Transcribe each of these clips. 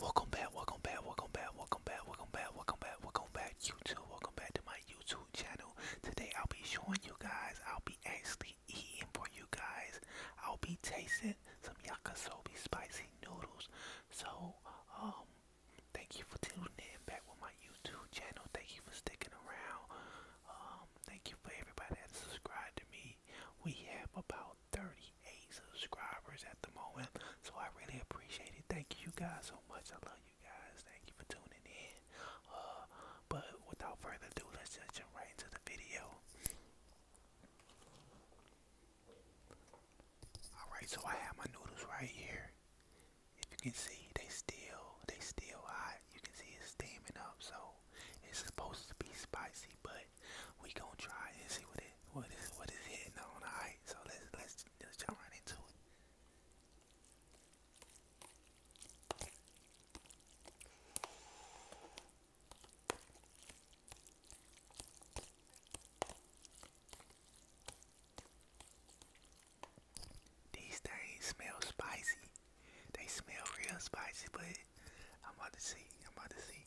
Welcome back, welcome back, welcome back, welcome back, welcome back, welcome back, welcome back, YouTube. Welcome back to my YouTube channel. Today I'll be showing you guys, I'll be actually eating for you guys. I'll be tasting some yakisoba spicy noodles. So, um, thank you for tuning in back with my YouTube channel. Thank you for sticking around. Um, thank you for everybody that subscribed to me we have about 38 subscribers at the moment. So I really appreciate it. Thank you guys so much. I love you guys. Thank you for tuning in. Uh, but without further ado, let's jump right into the video. Alright, so I have my noodles right here. If you can see, they still, they still hot. You can see it's steaming up, so it's supposed to be spicy, but but we gonna try and see what it what is what is hitting on. Alright, so let's let's let's jump right into it. These things smell spicy. They smell real spicy, but I'm about to see. I'm about to see.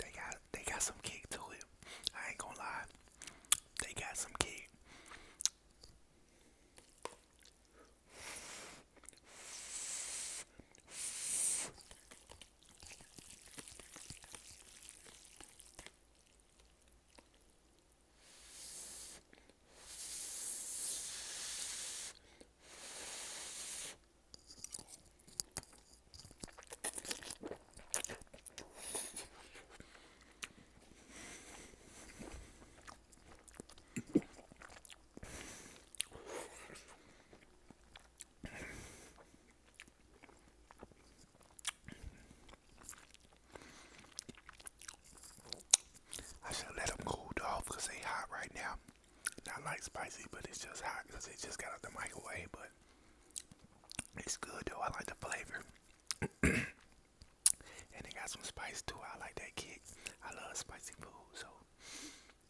they got they got some kick to it. I ain't gonna lie. They got some kick. I should let them cool off because they hot right now. Not like spicy, but it's just hot because it just got out the microwave. But it's good though. I like the flavor. and they got some spice too. I like that kick. I love spicy food. So,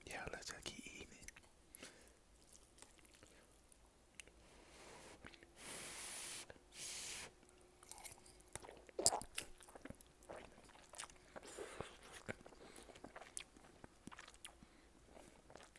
yeah, let's just keep eating it.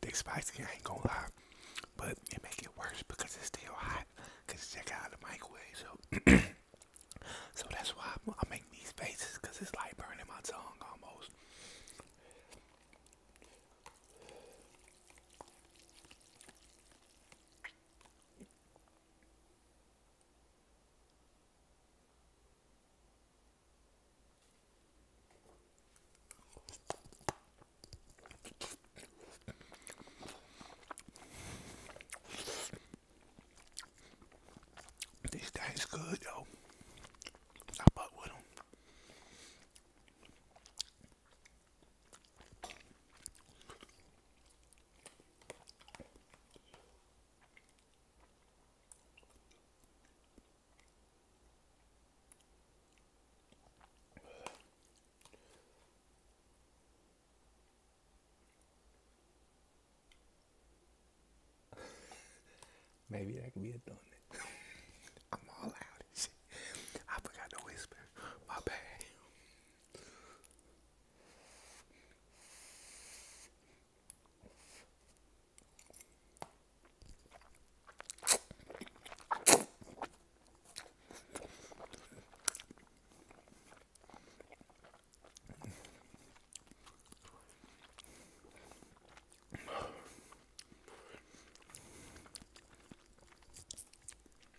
They spicy, I ain't gonna lie, but it make it worse because it's still hot. it's just out of the microwave, so so that's why I, make these faces. Cause it's like burning my tongue almost. These things good though. I fuck with them. Maybe that could be a donut. I'm all out. I forgot to whisper. My bad.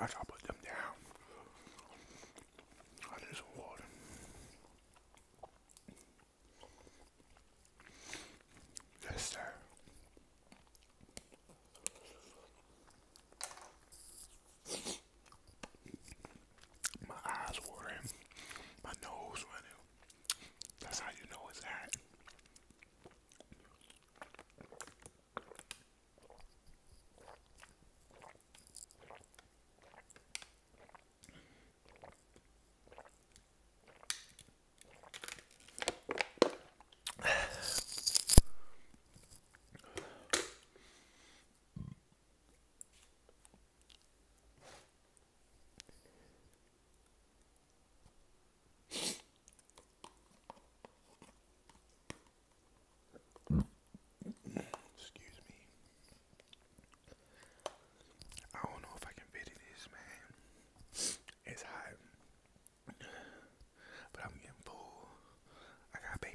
I shall put them down. I need some water. Yes, sir. My eyes watering, my nose running. That's how you know it's hot. Excuse me. I don't know if I can video this, man. It's hot. But I'm getting full. I got a baby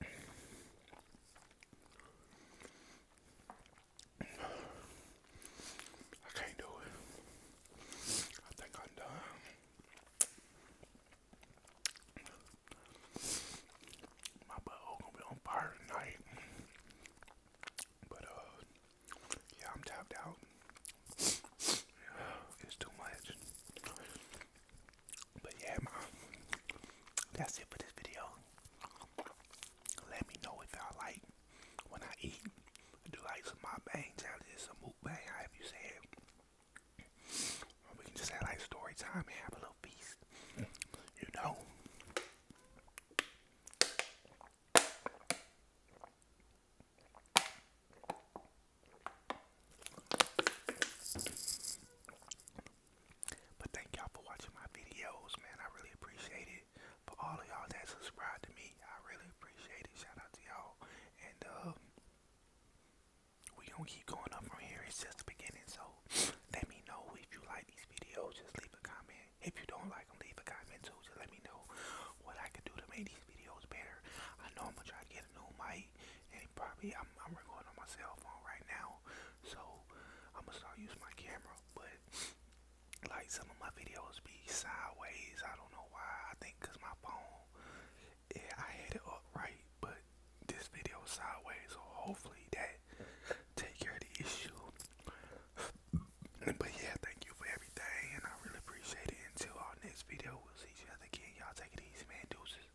I can't do it. I think I'm done. My butthole gonna be on fire tonight. But uh yeah, I'm tapped out. it's too much. But yeah, that's it for this video. Let me know if y'all like when I eat. Do like some mukbang challenges, some mukbang, however you say we can just have like story time and have a little feast. You know. But thank y'all for watching my videos, man. I really appreciate it. For all of y'all that subscribe to me, I really appreciate it. Shout out to y'all. And um we gonna keep going up from here. It's just the beginning. So let me know if you like these videos. Just leave a comment. If you don't like them, leave a comment too. Just let me know what I can do to make these videos better. I know I'm gonna try to get a new mic and probably I'm recording on my cell phone right now. So I'm gonna start using my camera, but like some of my videos be sideways. I don't know why. I think cause my phone, yeah, I had it upright, but this video sideways. So hopefully that take care of the issue. but yeah, thank you for everything, and I really appreciate it. Until our next video, we'll see each other again. Y'all take it easy, man. Deuces.